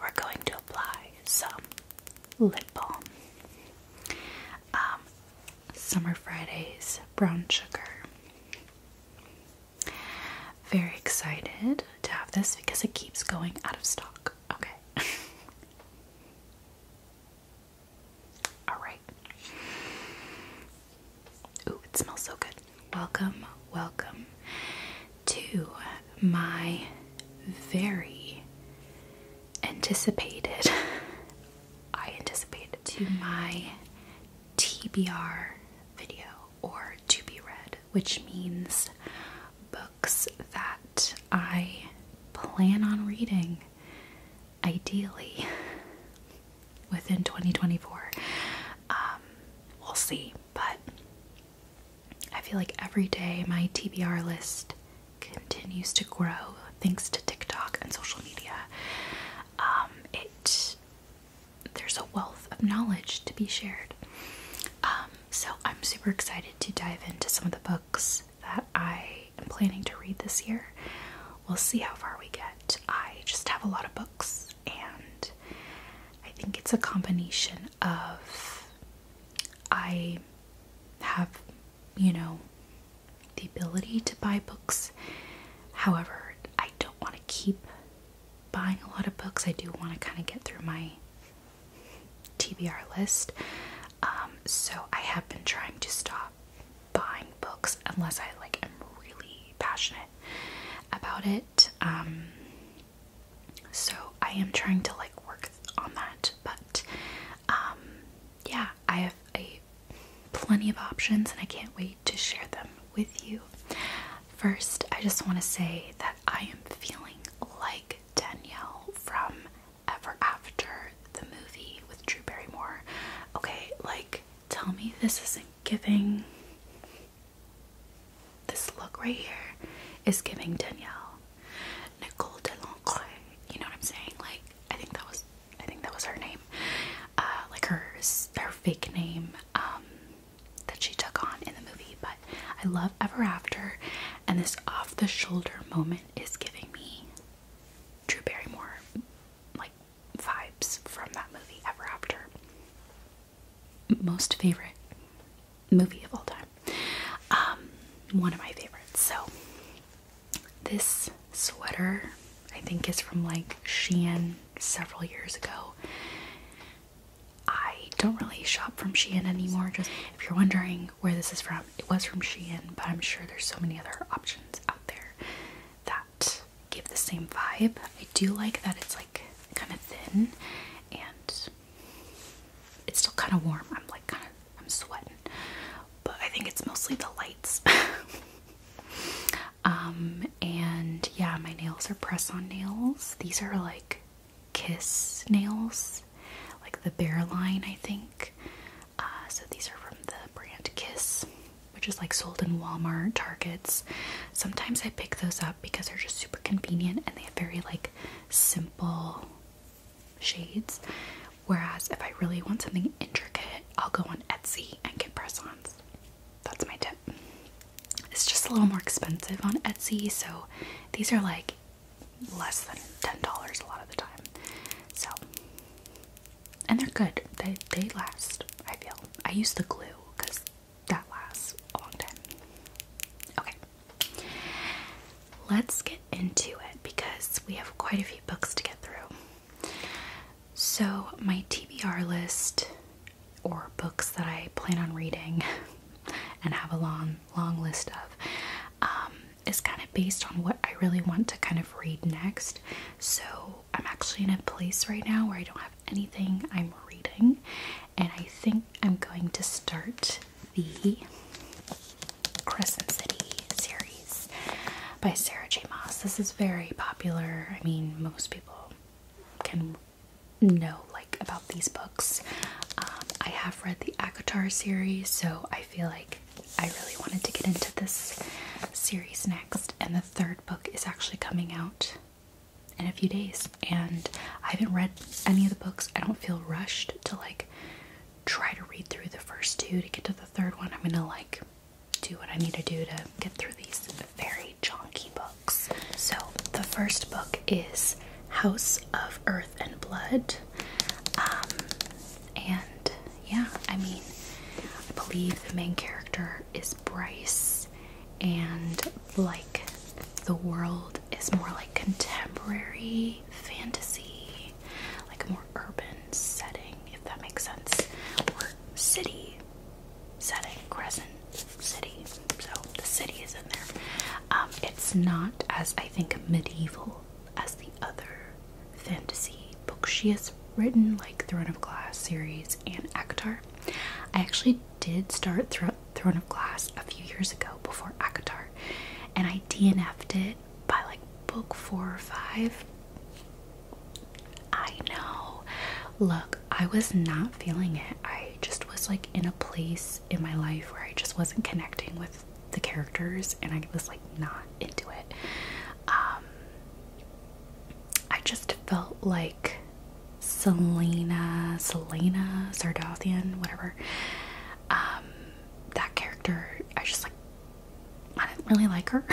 We're going to apply some lip balm. Um, Summer Fridays brown sugar. Very excited to have this because it keeps going out of stock. Okay. All right. Ooh, it smells so good. Welcome, welcome to my very anticipated, I anticipated, to my TBR video or to be read, which means books that I plan on reading ideally within 2024. Um, we'll see. But I feel like every day my TBR list continues to grow thanks to TikTok and social media. Um, it there's a wealth of knowledge to be shared. Um, so I'm super excited to dive into some of the books that I am planning to read this year. We'll see how far we get. I just have a lot of books and I think it's a combination of I have, you know, the ability to buy books. However, I don't want to keep buying a lot of books. I do want to kind of get through my TBR list. Um, so I have been trying to stop buying books unless I like am really passionate about it. Um, so I am trying to like work on that, but um, yeah, I have a plenty of options and I can't wait to share them with you. First, I just want to say that I am feeling like Danielle from Ever After the movie with Drew Barrymore. Okay, like tell me this isn't giving this look right here is giving Danielle Nicole Delonque. You know what I'm saying? Like I think that was I think that was her name. Uh, like her her fake name um, that she took on in the movie. But I love Ever After, and this off the shoulder moment is giving me Drew Barrymore like vibes from that movie Ever After most favorite movie of all time. Um, one of my favorites. So this sweater I think is from like Shein several years ago. I don't really shop from Shein anymore. Just if you're wondering where this is from, it was from Shein, but I'm sure there's so many other options out there that give the same vibe. I do like that it's like kind of thin and it's still kind of warm. I'm like kind of I'm sweating, but I think it's mostly the lights. um and yeah, my nails are press-on nails. These are like kiss nails, like the Bear line, I think. Uh, so these are from the brand Kiss, which is like sold in Walmart, Targets. Sometimes I pick those up because they're just super convenient and they have very like simple shades. Whereas if I really want something intricate, I'll go on Etsy and get press-ons. That's my tip. It's just a little more expensive on Etsy, so these are like less than $10 a lot of the time. So and they're good. They they last, I feel. I use the glue because that lasts a long time. Okay, let's get into it because we have quite a few books to get through. So, my TBR list or books that I plan on reading and have a long, long list of um, is kind of based on what I really want to kind of read next. So, I'm actually in a place right now where I don't have anything I'm reading, and I think I'm going to start the Crescent City series by Sarah J. Moss. This is very popular. I mean, most people can know like about these books. Um, I have read the Akatar series, so I feel like I really wanted to get into this series next. And the third book is actually coming out in a few days and I haven't read any of the books. I don't feel rushed to like try to read through the first two to get to the third one. I'm gonna like do what I need to do to get through these very chonky books. So the first book is House of Earth and Blood. Um, and yeah, I mean I believe the main character is Bryce and like the world is more like contemporary fantasy, like a more urban setting, if that makes sense, or city setting, Crescent City. So the city is in there. Um, it's not as I think medieval as the other fantasy books she has written, like Throne of Glass series and Akhtar. I actually did start Thro Throne of Glass a few years ago before ACOTAR, and I DNF'd it by like book four or five. I know. Look, I was not feeling it. I just was like in a place in my life where I just wasn't connecting with the characters and I was like not into it. Um I just felt like Selena, Selena Sardothian, whatever. Um, that character, I just like, I didn't really like her.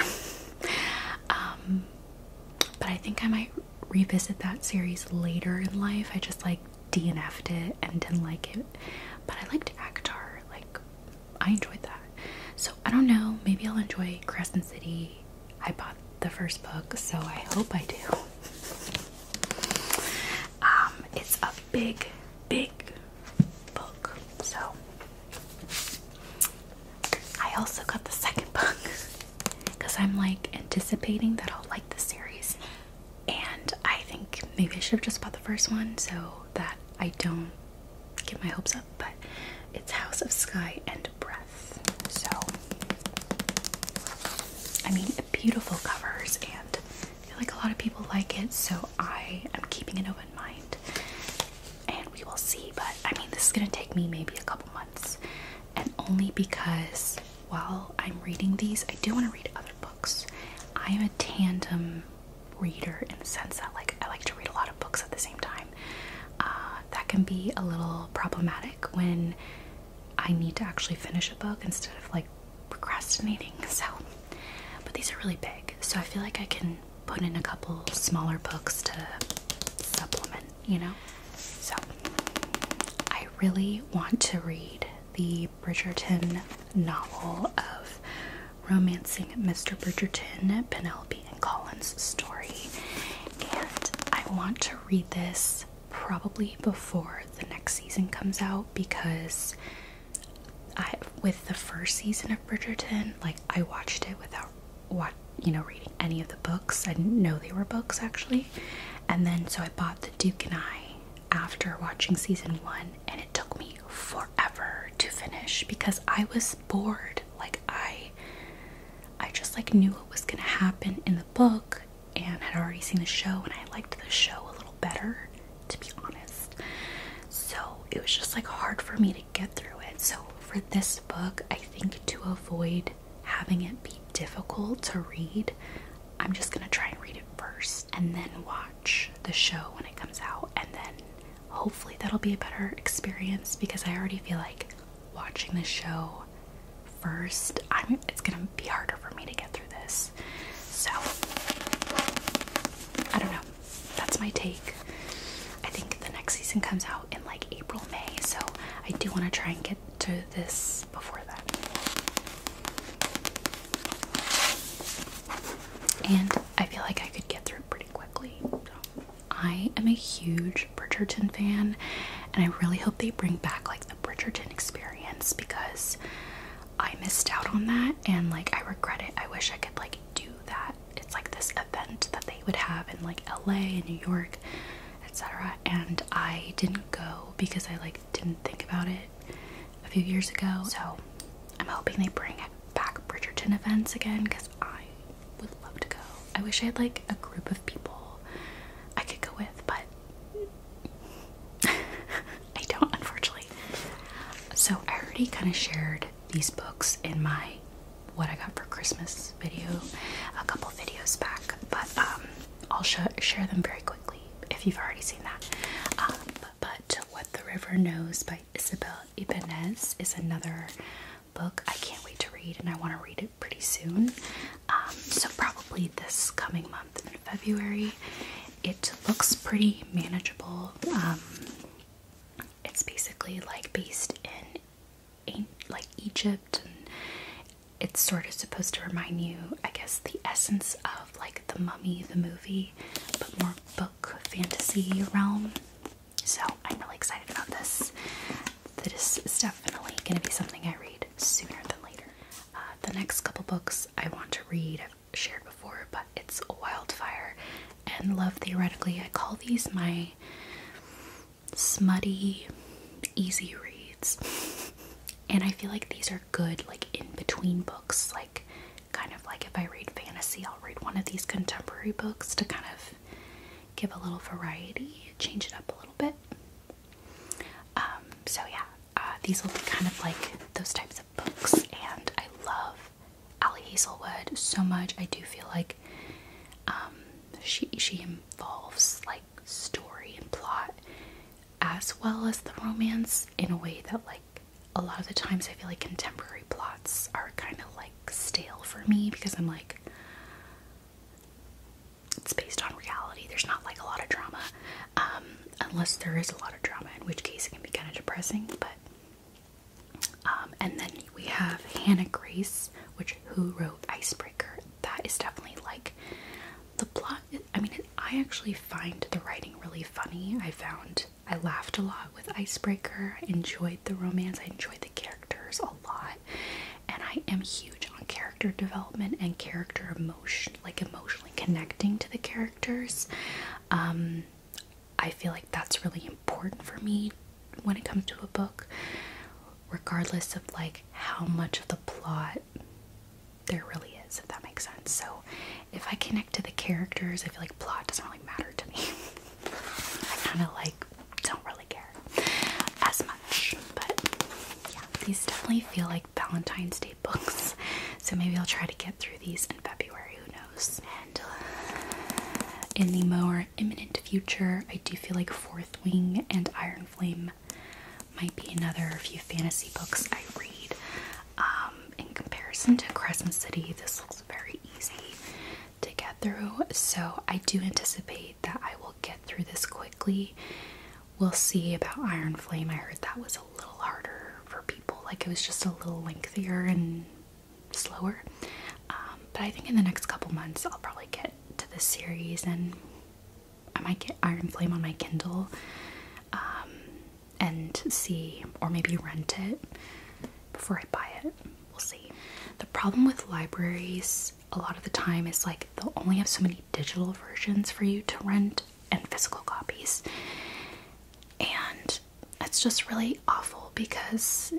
um, but I think I might revisit that series later in life. I just like DNF'd it and didn't like it. But I liked Akhtar. Like, I enjoyed that. So I don't know. Maybe I'll enjoy Crescent City I bought the first book, so I hope I do. Um, it's a big, big book. So I also got the second book because I'm like anticipating that I'll like the series, and I think maybe I should have just bought the first one so that I don't get my hopes up. But it's House of Sky and Breath. So, I mean, beautiful covers, and I feel like a lot of people like it, so I am keeping an open mind. And we will see, but I mean, this is gonna take me maybe a couple months, and only because while I'm reading these, I do want to read other books. I am a tandem reader in the sense that, like, I like to read a lot of books at the same time. Uh, that can be a little problematic when I need to actually finish a book instead of like procrastinating. So, but these are really big, so I feel like I can put in a couple smaller books to supplement, you know? So, I really want to read the Bridgerton novel of Romancing Mr. Bridgerton, Penelope and Collins' story, and I want to read this probably before the next season comes out because I with the first season of Bridgerton, like I watched it without what you know reading any of the books. I didn't know they were books actually. And then so I bought The Duke and I after watching season 1 and it took me forever to finish because I was bored. Like I I just like knew what was gonna happen in the book and had already seen the show and I liked the show a little better to be honest. So it was just like hard for me to get through it. So for this book, I think to avoid having it be difficult to read, I'm just gonna try and read it first and then watch the show when it comes out and then hopefully that'll be a better experience because I already feel like watching the show first, I'm it's gonna be harder for me to get through this. So I don't know. That's my take. I think the next season comes out in like April, May, so I do want to try and get to this before that. And I feel like I could get through it pretty quickly. So I am a huge Bridgerton fan and I really hope they bring back like the Bridgerton experience because I missed out on that and like I regret it. I wish I could like do that. It's like this event that they would have in like LA and New York, etc. And I didn't go because I like didn't think about it a few years ago. So I'm hoping they bring back Bridgerton events again because I would love to go. I wish I had like a group of people I could go with, but I don't, unfortunately. So I already kind of shared these books in my what I got for Christmas video a couple videos back, but um, I'll sh share them very quickly if you've already seen that. Um, but What the River Knows by Isabel Ibanez is another book I can't wait to read, and I want to read it pretty soon. Um, so, probably this coming month in February. It looks pretty manageable. Um, it's basically like based in like Egypt, and it's sort of supposed to remind you, I guess, the essence of like the Mummy, the movie, but more book fantasy realm. So I'm really excited about this this is definitely going to be something I read sooner than later. Uh, the next couple books I want to read, I've shared before, but it's Wildfire and Love Theoretically. I call these my smutty, easy reads. And I feel like these are good, like in between books, like kind of like if I read fantasy, I'll read one of these contemporary books to kind of give a little variety, change it up a little bit. Um, so yeah, uh, these will be kind of like those types of books, and I love Ally Hazelwood so much. I do feel like um, she she involves like story and plot as well as the romance in a way that like a lot of the times I feel like contemporary plots are kind of like stale for me because I'm like it's based on reality. There's not like a lot of drama, um, unless there is a lot of drama, in which case it can be kind of depressing. But um, and then we have Hannah Grace, which who wrote Icebreaker. That is definitely like the plot. I mean, I actually find the writing really funny. I found I laughed a lot with Icebreaker. I enjoyed the romance. I enjoyed the characters a lot, and I am huge on character development and character emotion, like emotionally connecting to the characters. Um, I feel like that's really important for me when it comes to a book, regardless of like how much of the plot there really is, if that makes sense. So, if I connect to the characters, I feel like plot doesn't really matter to me. I kind of like don't really care as much. But yeah, these definitely feel like Valentine's Day books. So maybe I'll try to get through these in February, who knows? And uh, in the more imminent future, I do feel like Fourth Wing and Iron Flame might be another few fantasy books I read. Um, in comparison to *Christmas City, this looks very easy to get through. So I do anticipate that I will get through this quickly. We'll see about Iron Flame. I heard that was a little harder for people, like it was just a little lengthier and slower. Um, but I think in the next couple months, I'll probably get to this series and I might get Iron Flame on my Kindle um, and see, or maybe rent it before I buy it. We'll see. The problem with libraries a lot of the time is like they'll only have so many digital versions for you to rent and physical copies. And it's just really awful because,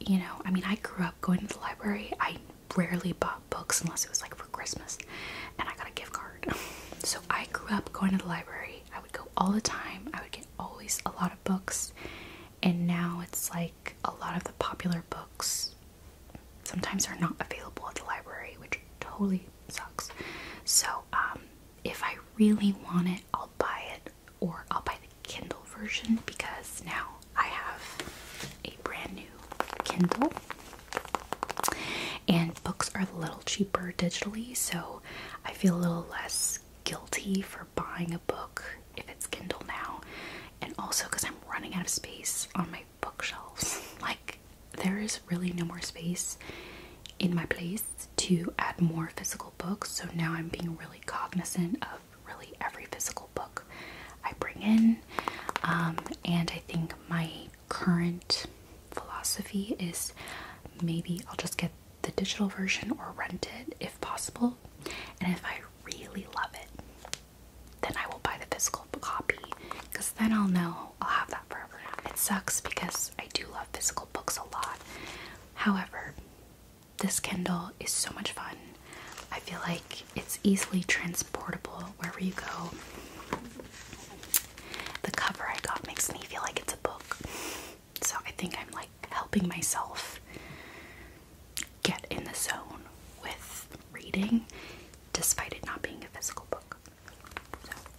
you know, I mean, I grew up going to the library. I rarely bought books unless it was like for Christmas and I got a gift card. so I grew up going to the library. I would go all the time. I would get always a lot of books. And now it's like a lot of the popular books sometimes they are not available at the library, which totally sucks. So, um, if I really want it, I'll buy it or I'll buy the Kindle version because now I have a brand new Kindle and books are a little cheaper digitally, so I feel a little less guilty for buying a book if it's Kindle now, and also because I'm running out of space on my bookshelves. Like, there is really no more space in my place to add more physical books, so now I'm being really cognizant of really every physical book I bring in. Um, and I think my current philosophy is maybe I'll just get the digital version or rent it if possible, and if I really love it, then I will buy the physical copy because then I'll know I'll have that forever. It sucks because I do love physical books a lot. However, this Kindle is so much fun. I feel like it's easily transportable wherever you go. The cover I got makes me feel like it's a book. So I think I'm like helping myself get in the zone with reading despite it not being a physical book.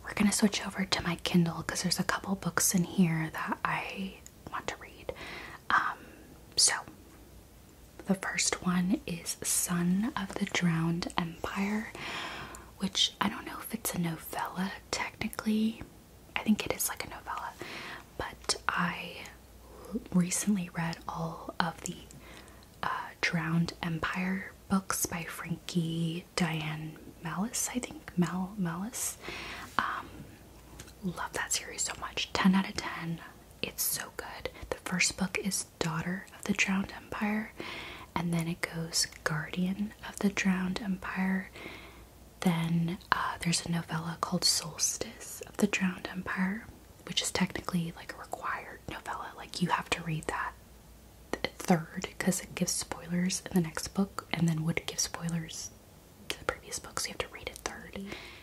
we're gonna switch over to my Kindle because there's a couple books in here that I want to read. Um, so the first one is Son of the Drowned Empire, which I don't know if it's a novella technically. I think it is like a novella, but I recently read all of the uh, Drowned Empire books by Frankie Diane Malice, I think. Mal Malice. Um, love that series so much. 10 out of 10. It's so good. The first book is Daughter of the Drowned Empire, and then it goes Guardian of the Drowned Empire. Then uh, there's a novella called Solstice of the Drowned Empire which is technically like a required novella. Like you have to read that third because it gives spoilers in the next book, and then would give spoilers to the previous books. you have to read it third.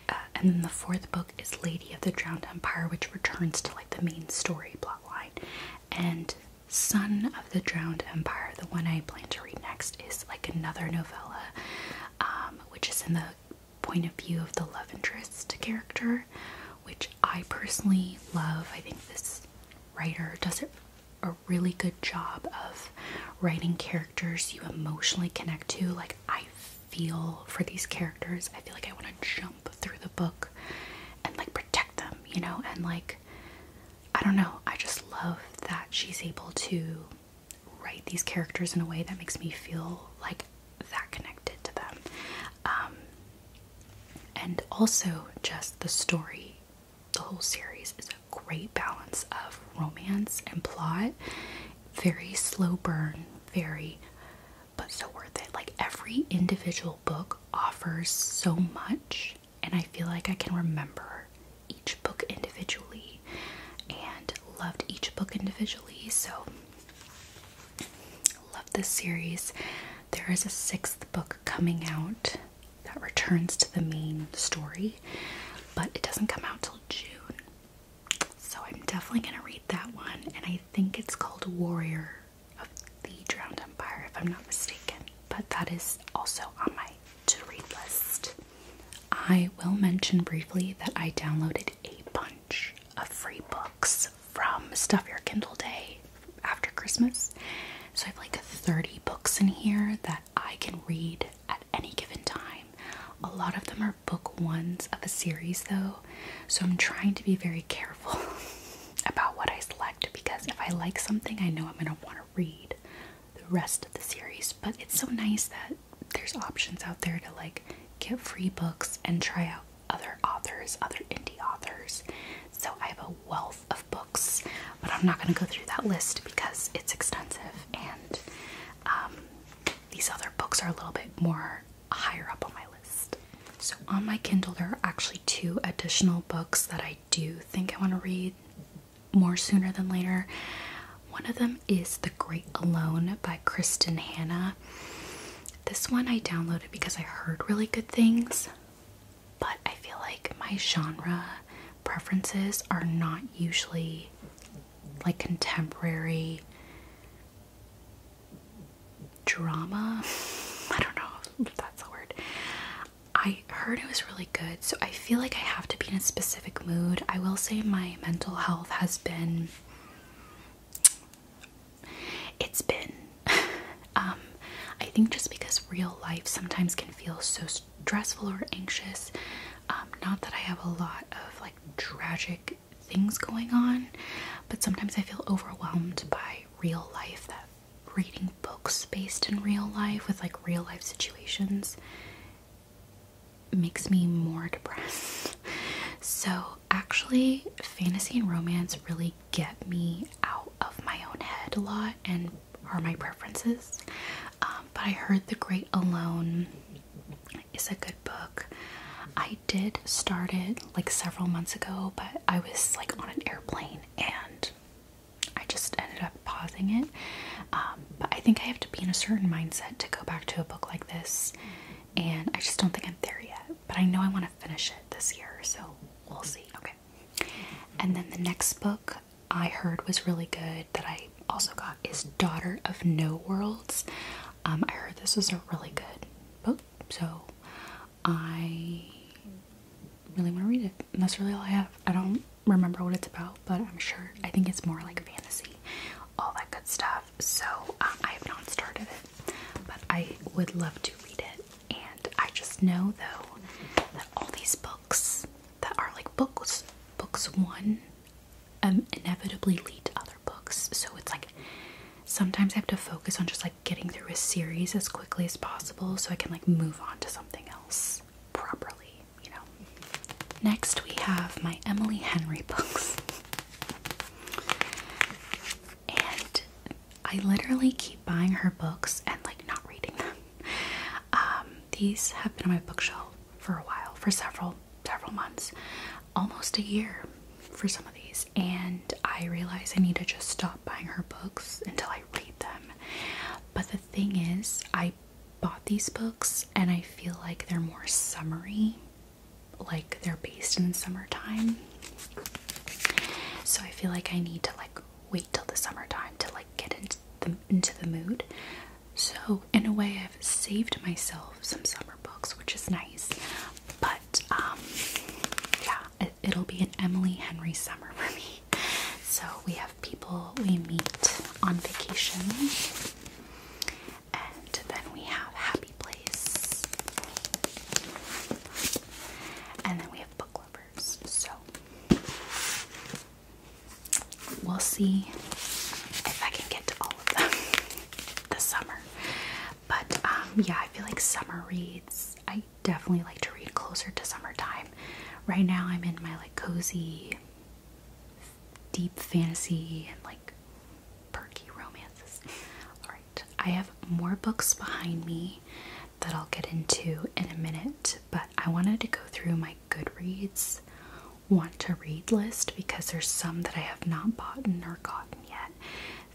Uh, and then the fourth book is Lady of the Drowned Empire, which returns to like the main story plotline. And Son of the Drowned Empire, the one I plan to read next, is like another novella, um, which is in the point of view of the love interest character, which I personally love. I think this writer does a really good job of writing characters you emotionally connect to. Like, I feel for these characters, I feel like I want to jump through the book and like protect them, you know, and like. I don't know, I just love that she's able to write these characters in a way that makes me feel like that connected to them. Um, and also, just the story, the whole series is a great balance of romance and plot. Very slow burn, very, but so worth it. Like every individual book offers so much, and I feel like I can remember each book individually and loved each book individually. So Love this series. There is a sixth book coming out that returns to the main story, but it doesn't come out till June. So I'm definitely going to read that one, and I think it's called Warrior of the Drowned Empire, if I'm not mistaken. But that is also on my to read list. I will mention briefly that I downloaded a bunch of free books from Stuff Your Kindle Day after Christmas. So I have like 30 books in here that I can read at any given time. A lot of them are book ones of a series though, so I'm trying to be very careful about what I select because if I like something, I know I'm going to want to read the rest of the series. But it's so nice that there's options out there to like get free books and try out other authors, other indie authors. So I have a wealth of books, but I'm not going to go through that list because it's extensive, and um, these other books are a little bit more higher up on my list. So on my Kindle, there are actually two additional books that I do think I want to read more sooner than later. One of them is the. Great Alone by Kristen Hanna. This one I downloaded because I heard really good things, but I feel like my genre preferences are not usually like contemporary drama. I don't know that's a word. I heard it was really good, so I feel like I have to be in a specific mood. I will say my mental health has been it's been. Um, I think just because real life sometimes can feel so stressful or anxious. Um, not that I have a lot of like tragic things going on, but sometimes I feel overwhelmed by real life that reading books based in real life with like real life situations makes me more depressed. So actually, fantasy and romance really get me out of my own head a lot and are my preferences. Um, but I heard The Great Alone is a good book. I did start it like several months ago, but I was like on an airplane and I just ended up pausing it. Um, but I think I have to be in a certain mindset to go back to a book like this and I just don't think I'm there yet. But I know I want to finish it this year, so we'll see. Okay. And then the next book I heard was really good that I also got is Daughter of No Worlds. Um, I heard this was a really good book, so I really want to read it. And that's really all I have. I don't remember what it's about, but I'm sure I think it's more like fantasy, all that good stuff. So um, I have not started it, but I would love to read it. And I just know though that all these books that are like books, books one, um, inevitably lead to other books. So it's like sometimes I have to focus on just like getting through a series as quickly as possible so I can like move on to something else properly, you know. Next, we have my Emily Henry books. And I literally keep buying her books and like not reading them. Um, these have been on my bookshelf for a while, for several, several months, almost a year for some of these. And I realize I need to just stop buying her books until I read them. But the thing is, I bought these books and I feel like they're more summary like they're based in summertime. So I feel like I need to like wait till the summertime to like get into the into the mood. So in a way I've saved myself some summer books, which is nice. But um yeah, it'll be an Emily Henry summer for me. So we have people we meet on vacation and then we have Happy Place. And then we have Book Lovers. So we'll see if I can get to all of them this summer. But um, yeah, I feel like summer reads, I definitely like to read closer to summertime. Right now, I'm in my like cozy, deep fantasy and like perky romances. Alright, I have more books behind me that I'll get into in a minute, but I wanted to go through my Goodreads want to read list because there's some that I have not bought or gotten yet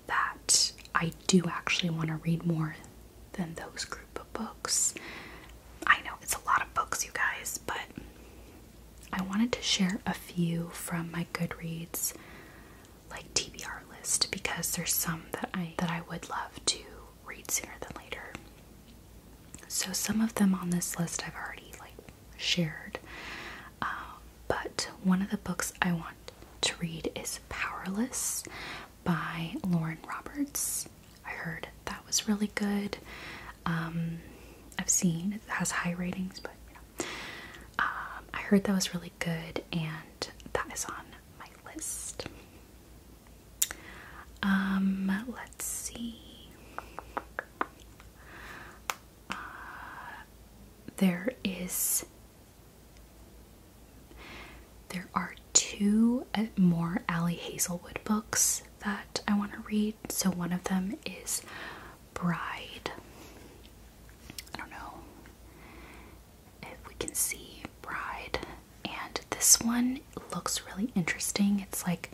that I do actually want to read more than those group of books. I know it's a lot of books, you guys, but I wanted to share a few from my Goodreads like TBR list because there's some that I that I would love to read sooner than later. So some of them on this list I've already like shared, uh, but one of the books I want to read is Powerless by Lauren Roberts. I heard that was really good. Um, I've seen it has high ratings, but you know, um, I heard that was really good, and that is on my list. Um, let's see. Uh, there is. There are two uh, more Ally Hazelwood books that I want to read. So one of them is Bride, I don't know if we can see Bride. And this one looks really interesting. It's like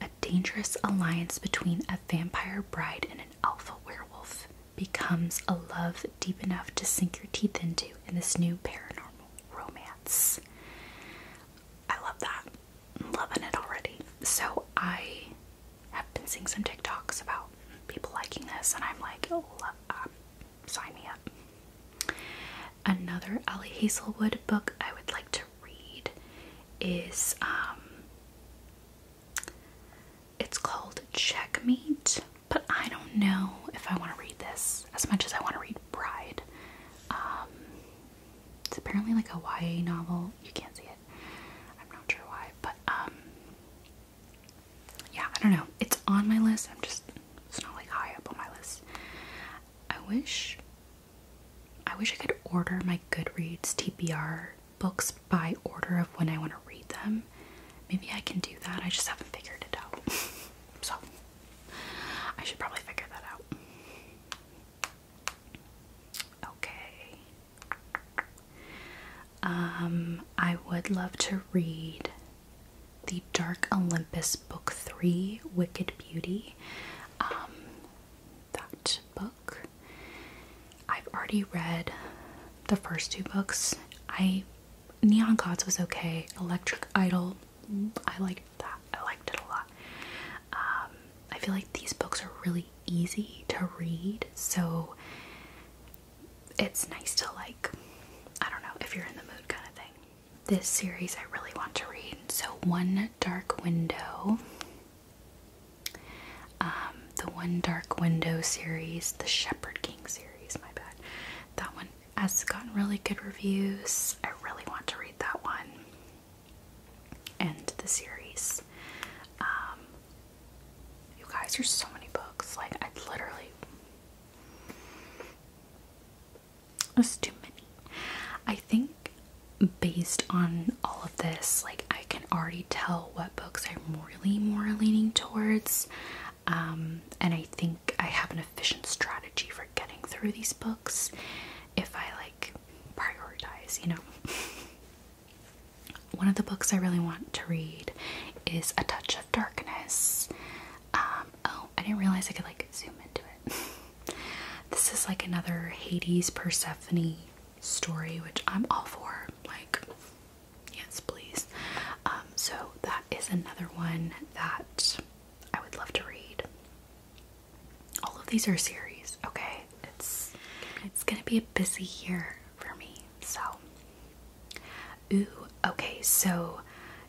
a dangerous alliance between a vampire bride and an alpha werewolf becomes a love deep enough to sink your teeth into in this new paranormal romance. I love that. loving it already. So I have been seeing some TikToks about people liking this, and I'm like, oh, uh, sign me up. Another Ellie Hazelwood book I would like to read is um, it's called Checkmate, but I don't know if I want to read this as much as I want to read Bride. Um, it's apparently like a YA novel. You can't see it. I'm not sure why, but um, yeah, I don't know. It's on my list. I'm just it's not like high up on my list. I wish I wish I could order my Goodreads TBR books by order of when I want to read them. Maybe I can do that. I just haven't figured it out. so I should probably figure that out. Okay. Um, I would love to read the Dark Olympus Book 3 Wicked Beauty. Um, that book. I've already read the first two books. I Neon Gods was okay. Electric Idol, I liked that. I liked it a lot. Um, I feel like these books are really easy to read, so it's nice to like, I don't know, if you're in the mood kind of thing. This series I really want to read. So, One Dark Window. Um, the One Dark Window series, the Shepherd King series, my bad. That one has gotten really good reviews. I really want to read that one and the series. Um, you guys, there's so many books. Like, I literally. It's too many. I think based on all of this, like, I can already tell what books I'm really more leaning towards. Um, and I think I have an efficient strategy for getting through these books if I like prioritize, you know. one of the books I really want to read is A Touch of Darkness. Um, oh, I didn't realize I could like zoom into it. this is like another Hades Persephone story, which I'm all for. Like, yes, please. Um, so that is another one that I would love to read. All of these are series, okay? It's it's gonna be a busy year for me. So, ooh, okay. So,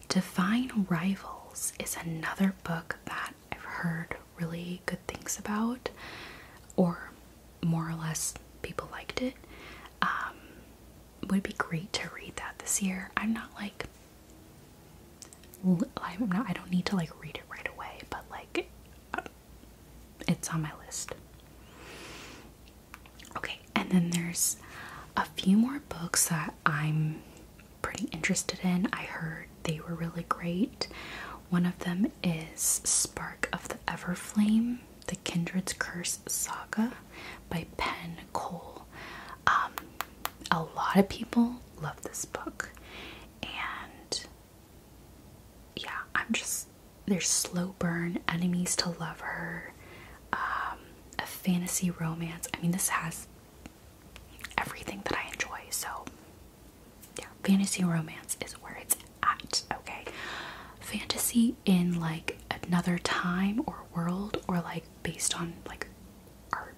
Divine Rivals is another book that I've heard really good things about, or more or less people liked it. Um, would be great to read that this year. I'm not like I'm not. I don't need to like read it right away, but like it's on my list. Okay, and then there's a few more books that I'm pretty interested in. I heard they were really great. One of them is Spark of the Everflame, The Kindred's Curse Saga by Pen Cole. Um, a lot of people love this book, and yeah, I'm just there's slow burn, enemies to lover, um, a fantasy romance. I mean, this has everything that I enjoy. So, yeah, fantasy romance is where it's at. Okay, fantasy in like another time or world, or like based on like our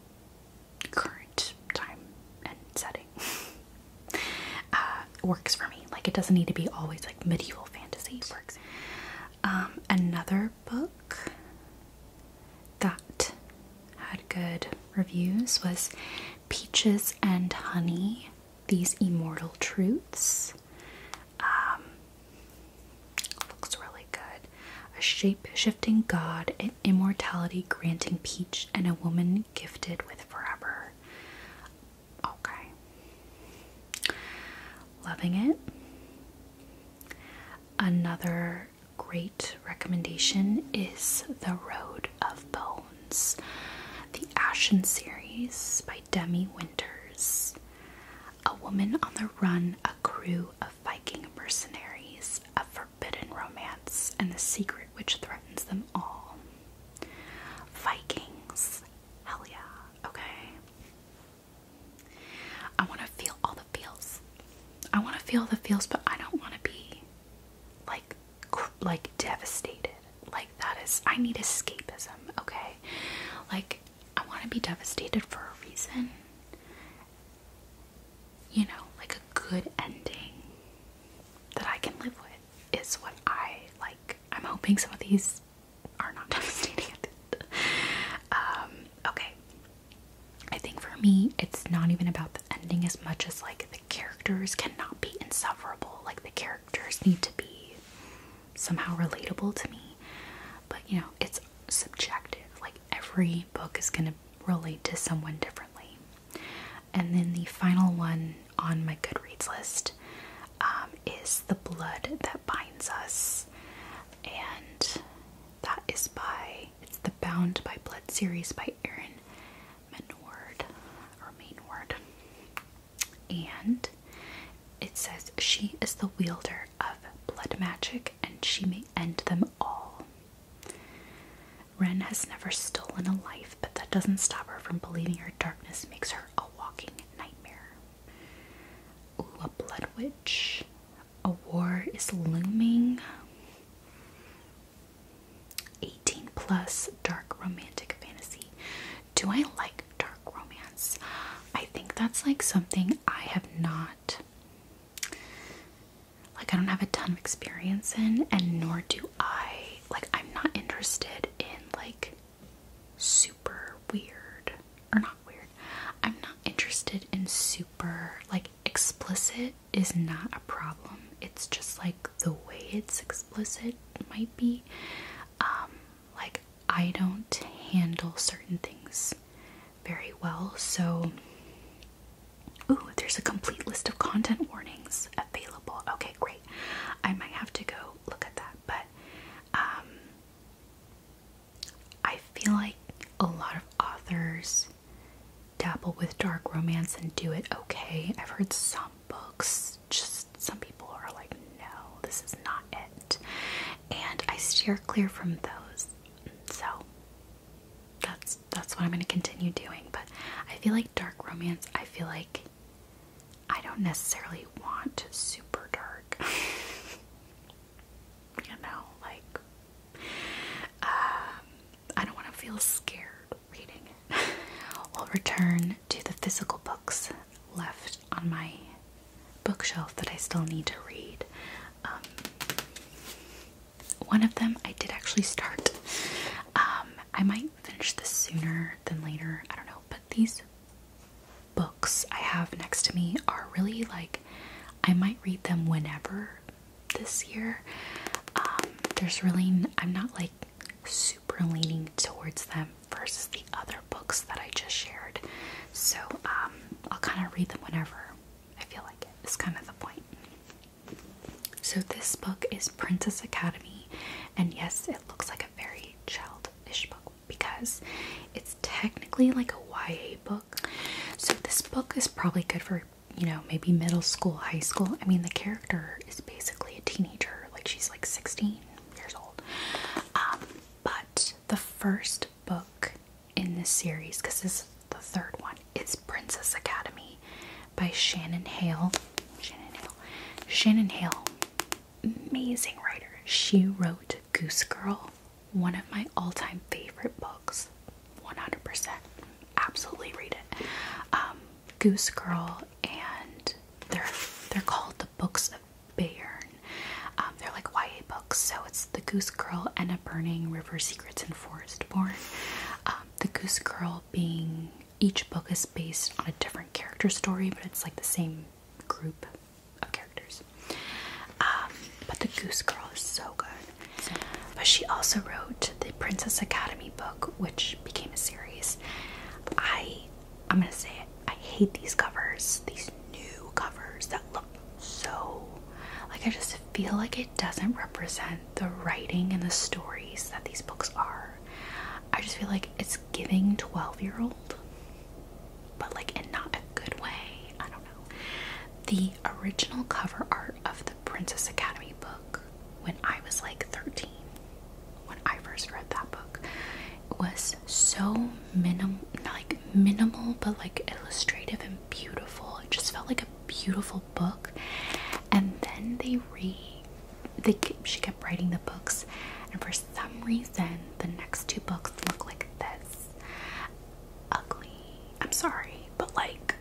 current time and setting. uh, works for me. Like it doesn't need to be always like medieval fantasy works. Um, another book that had good reviews was Peaches and Honey: These Immortal Truths. Um, looks really good. A shape-shifting god, an immortality granting peach, and a woman gifted with forever. Okay. Loving it. Another great recommendation is The Road of Bones, the Ashen series by Demi Winters. A woman on the run, a crew of Viking mercenaries, a forbidden romance, and the secret which threatens them all. Vikings, Hell yeah. Okay. I want to feel all the feels. I want to feel the feels, but I don't want to be like like devastated. Like that is I need escapism, okay? Like I want to be devastated for a reason. You know, like a good ending that I can live with is what I like. I'm hoping some of these are not devastating. Um, okay. I think for me, it's not even about the ending as much as like the characters cannot be insufferable. Like the characters need to be somehow relatable to me. But you know, it's subjective. Like every book is going to relate to someone differently. And then the final one on my Goodreads list um, is The Blood That Binds Us. And that is by, it's the Bound by Blood series by Erin Menward And it says, She is the wielder of blood magic and she may end them all. Ren has never stolen a life but that doesn't stop her from believing her darkness makes her a walking nightmare. Ooh, a blood witch. A war is looming. 18 plus dark romantic fantasy. Do I like dark romance? I think that's like something I have not like I don't have a ton of experience in and nor do I like I'm not interested in like super weird or not weird. I'm not interested in super like explicit is not a problem. It's just like the way it's explicit might be um like I don't handle certain things very well. So Ooh, there's a complete list of content warnings available. Okay, great. I might have to go look at that. But um, I feel like a lot of authors dabble with dark romance and do it okay. I've heard some books, just some people are like, no, this is not it. And I steer clear from those. So that's that's what I'm gonna continue doing. But I feel like dark romance, I feel like I don't necessarily want super dark. you know, like um, I don't want to feel scared reading it. I'll return to the physical books left on my bookshelf that I still need to read. Um, one of them I did actually start, um, I might finish this sooner than later. I don't know, but these books I have next to me are really like I might read them whenever this year. Um, there's really I'm not like super leaning towards them versus the other books that I just shared. So um, I'll kind of read them whenever I feel like it. Is kind of the point. So this book is Princess Academy, and yes, it looks like a very Childish book because it's technically like a YA book. So this book is probably good for, you know, maybe middle school, high school. I mean, the character is basically a teenager, like she's like 16 years old. Um, but the first book in this series, because this is the third one, is Princess Academy by Shannon Hale. Shannon Hale. Shannon Hale amazing writer. She wrote Goose Girl, one of my all time favorite books. 100%. Absolutely read it. Um, Goose Girl, and they're, they're called the Books of Bayern. Um, they're like YA books, so it's The Goose Girl, Anna Burning, River Secrets, and Forest Born. Um, the Goose Girl being each book is based on a different character story, but it's like the same group of characters. Um, but the Goose Girl is so good. but she also wrote the Princess Academy book, which became a series. I, I'm gonna say it. I hate these covers. These new covers that look so like I just feel like it doesn't represent the writing and the stories that these books are. I just feel like it's giving 12 year old, but like in not a good way. I don't know. The original cover art of the Princess Academy book when I was like 13, when I first read that book, was so minimal, like minimal, but like illustrative and beautiful. It just felt like a beautiful book. And then they re they she kept writing the books, and for some reason, the next two books look like this. Ugly. I'm sorry, but like,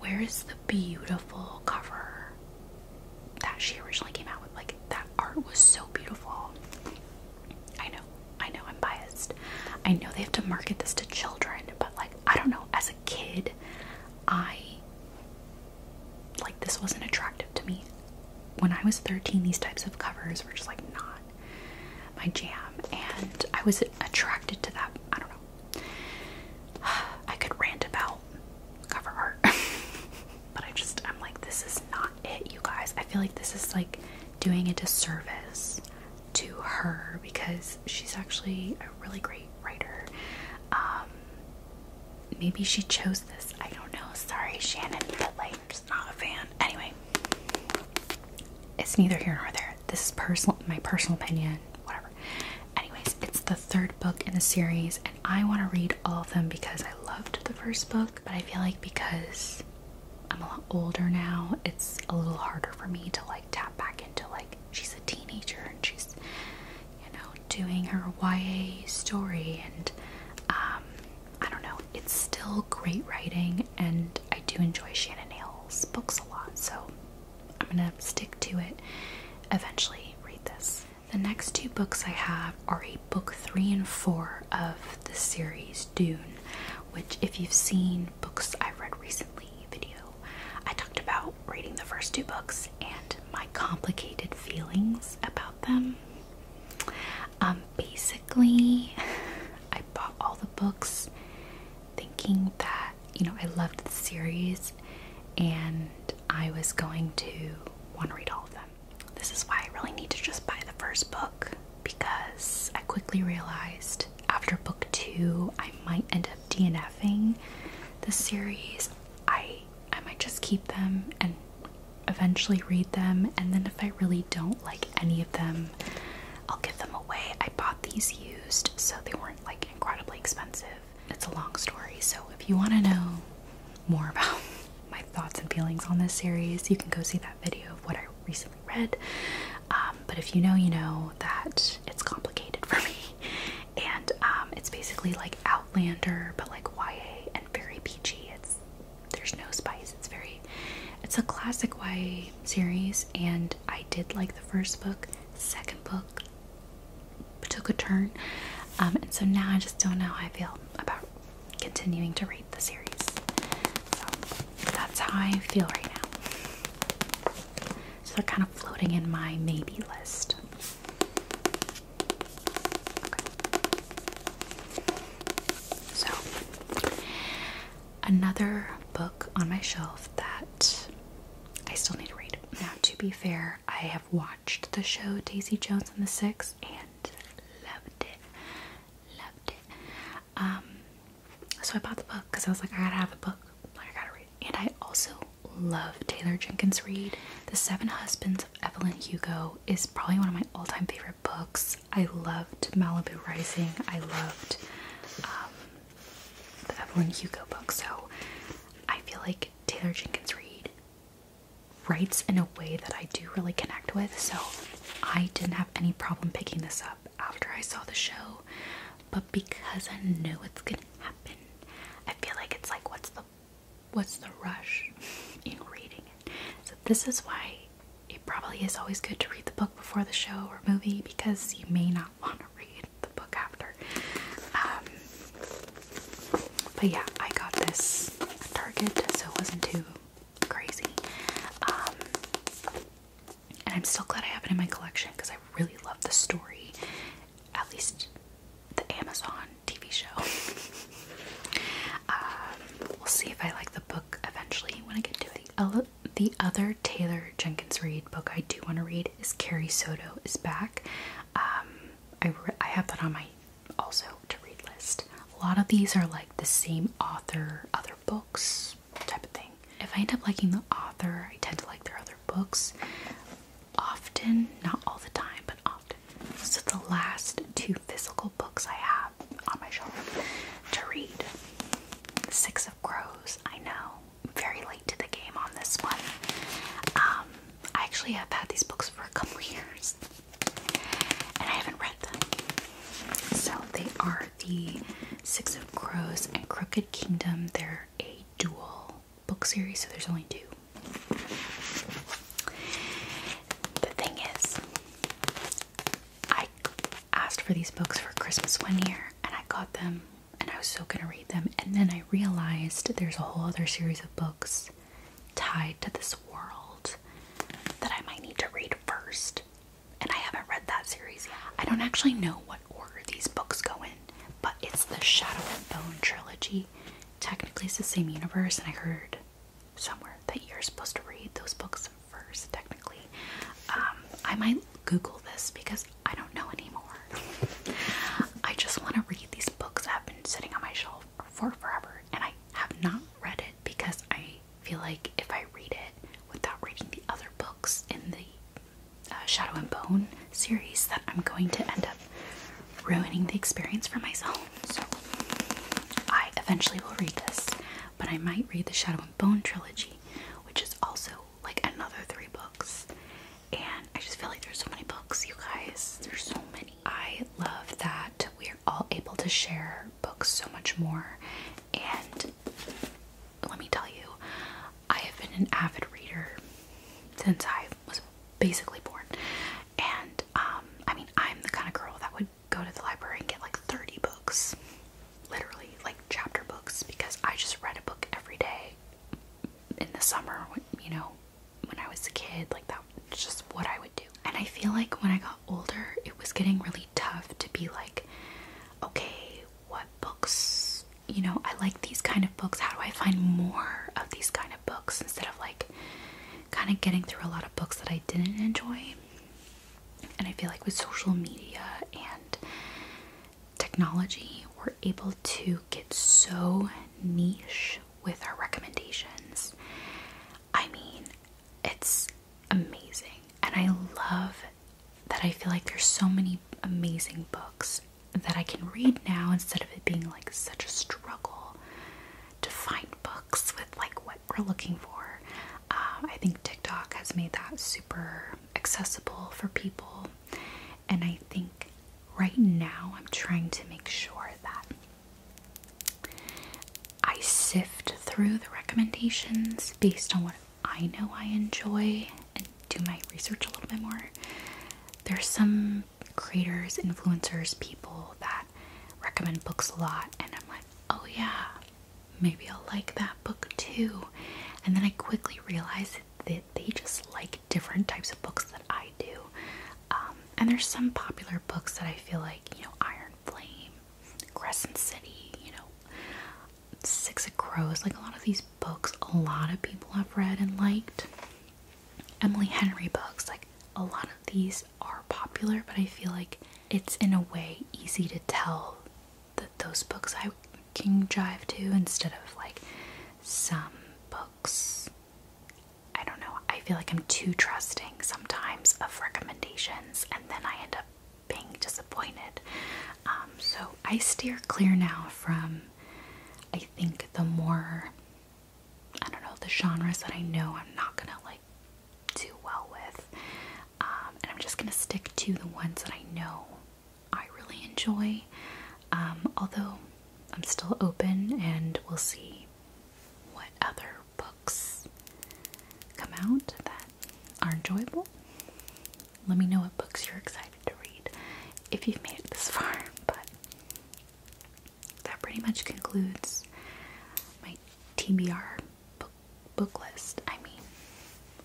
where is the beautiful cover that she originally came out with? Like, that art was so beautiful. I know, I know, I'm biased. I know they have to market this to children, but like, I don't know, as a kid, I like this wasn't attractive to me. When I was 13, these types of covers were just like not my jam, and I was attracted to that. I don't know. I could rant about cover art, but I just, I'm like, this is not it, you guys. I feel like this is like doing a disservice to her because she's actually a really great writer. Um, maybe she chose this. I don't know. Sorry, Shannon, but like, I'm just not a fan. Anyway, it's neither here nor there. This is personal, my personal opinion, whatever. Anyways, it's the third book in the series, and I want to read all of them because I loved the first book, but I feel like because I'm a lot older now, it's a little harder for me to like tap back into like she's a teenager and she's you know, doing her YA story, and um, I don't know, it's still great writing, and I do enjoy Shannon Hale's books a lot, so I'm gonna stick to it. Eventually, read this. The next two books I have are book three and four of the series Dune, which, if you've seen books i read recently video, I talked about reading the first two books and my complicated feelings about them. Um, basically, I bought all the books thinking that, you know, I loved the series and I was going to want to read all of them. This is why I really need to just buy the first book because I quickly realized after book two I might end up DNFing the series. I I might just keep them and eventually read them. And then if I really don't like any of them, I'll give them away. I bought these used, so they weren't like incredibly expensive. It's a long story, so if you want to know more about my thoughts and feelings on this series, you can go see that video of what I recently read. Um, but if you know, you know that it's complicated for me, and um, it's basically like Outlander, but like YA and very peachy. It's there's no spice. It's very it's a classic YA series and I did like the first book. Second book took a turn. Um, and so now I just don't know how I feel about continuing to read the series. So that's how I feel right now. So they're kind of floating in my maybe list. So, another book on my shelf that I still need to read. Now, to be fair, I have watched the show Daisy Jones and the Six and loved it. Loved it. Um, so I bought the book because I was like, I gotta have a book. Like, I gotta read. And I also love Taylor Jenkins Reid. The Seven Husbands Evelyn Hugo is probably one of my all time favorite books. I loved Malibu Rising, I loved um, the Evelyn Hugo book. So I feel like Taylor Jenkins Reid writes in a way that I do really connect with. So I didn't have any problem picking this up after I saw the show. But because I know it's gonna happen, I feel like it's like, what's the what's the rush in reading it? So this is why it probably is always good to read the book before the show or movie because you may not want to read the book after. Um, but yeah, I got this at Target, so it wasn't too crazy. Um, and I'm still glad I have it in my collection because I really love the story at least the Amazon TV show. Um, we'll see if I like the book eventually when I get to it. The, other Taylor Jenkins Reid book I do want to read is Carrie Soto is Back. Um, I, I have that on my also to read list. A lot of these are like the same author, other books type of thing. If I end up liking the author, I tend to like their other books often, not all the time, but often. So the last two physical books I have on my shelf to read. Six of Crows, I know. Very late to the game on this one. Um, I actually have had these books for a couple years and I haven't read them. So they are the Six of Crows and Crooked Kingdom. They're a dual book series, so there's only two. The thing is, I asked for these books for Christmas one year and I got them and I was so gonna read them, and then I realized there's a whole other series of books tied to this world that I might need to read first. And I haven't read that series yet. I don't actually know what order these books go in, but it's the Shadow and Bone trilogy technically it's the same universe, and I heard somewhere that you're supposed to read those books first, technically. Um, I might Google this because I don't know anymore. I just want to read these books that have been sitting on my shelf for forever, and I have not read it because I feel like if I read it without reading the other books in the uh, Shadow and Bone series, that I'm going to end up ruining the experience for myself. So I eventually will read this, but I might read the Shadow and Bone trilogy, which is also like another three books. And I just feel like there's so many books, you guys. There's so many. I love that we are all able to share books so much more. And let me tell you, I have been an avid reader since I was basically born. And um, I mean, I'm the kind of girl that would go to the library and get like 30 books, literally, like chapter books, because I just read a book every day in the summer, you know, when I was a kid. Like, that was just what I would do. And I feel like when I got older, it was getting really tough to be like, okay, what books, you know, I like these kind of books. How do I find more of these kind of books instead of like kind of getting through a lot of books that I didn't enjoy. And I feel like with social media and technology, we're able to get so niche with our recommendations. I mean, it's amazing. And I love that I feel like there's so many amazing books that I can read now instead of it being like such a struggle to find books with like what we're looking for. Um, I think TikTok has made that super accessible for people, and I think right now I'm trying to make sure that I sift through the recommendations based on what I know I enjoy and do my research a little bit more. There's some creators, influencers, people that recommend books a lot, and I'm like, oh yeah, maybe I'll like that book too. And then I quickly realize that they just like different types of books that I do. Um, and there's some popular books that I feel like, you know, Iron Flame, Crescent City, you know, Six of Crows, like a lot of these books, a lot of people have read and liked. Emily Henry books. Like a lot of these are popular, but I feel like it's in a way easy to tell that those books I can drive to instead of like some books. I don't know. I feel like I'm too trusting sometimes of recommendations, and then I end up being disappointed. Um, so I steer clear now from, I think, the more I don't know, the genres that I know I'm not gonna like do well with. Um, and I'm just gonna stick to the ones that I know I really enjoy. Um, although I'm still open and we'll see what other books come out that are enjoyable. Let me know what books you're excited to read if you've made it this far, but that pretty much concludes my TBR book, book list. I mean,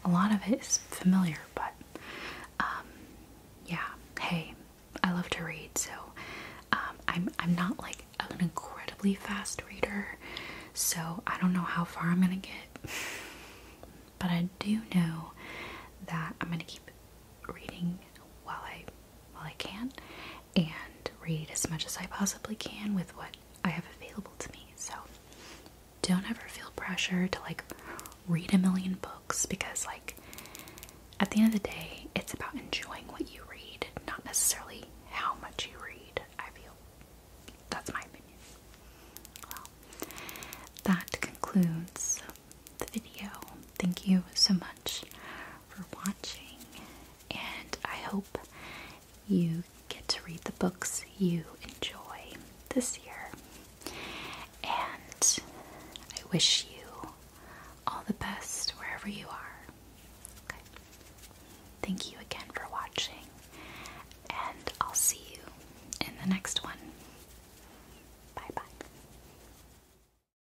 a lot of it is familiar, but um, yeah. Hey, I love to read, so um, I'm I'm not like an incredibly fast reader, so I don't know how far I'm gonna get, but I do know that I'm gonna keep reading while I while I can and read as much as I possibly can with what I have available to me. So don't ever feel pressure to like read a million books because, like, at the end of the day, it's about enjoying what you read, not necessarily how much you read. I feel that's my opinion. Well, that concludes the video. Thank you so much for watching, and I hope you get to read the books you enjoy this year. And I wish you all the best wherever you are. Thank you again for watching, and I'll see you in the next one. Bye bye.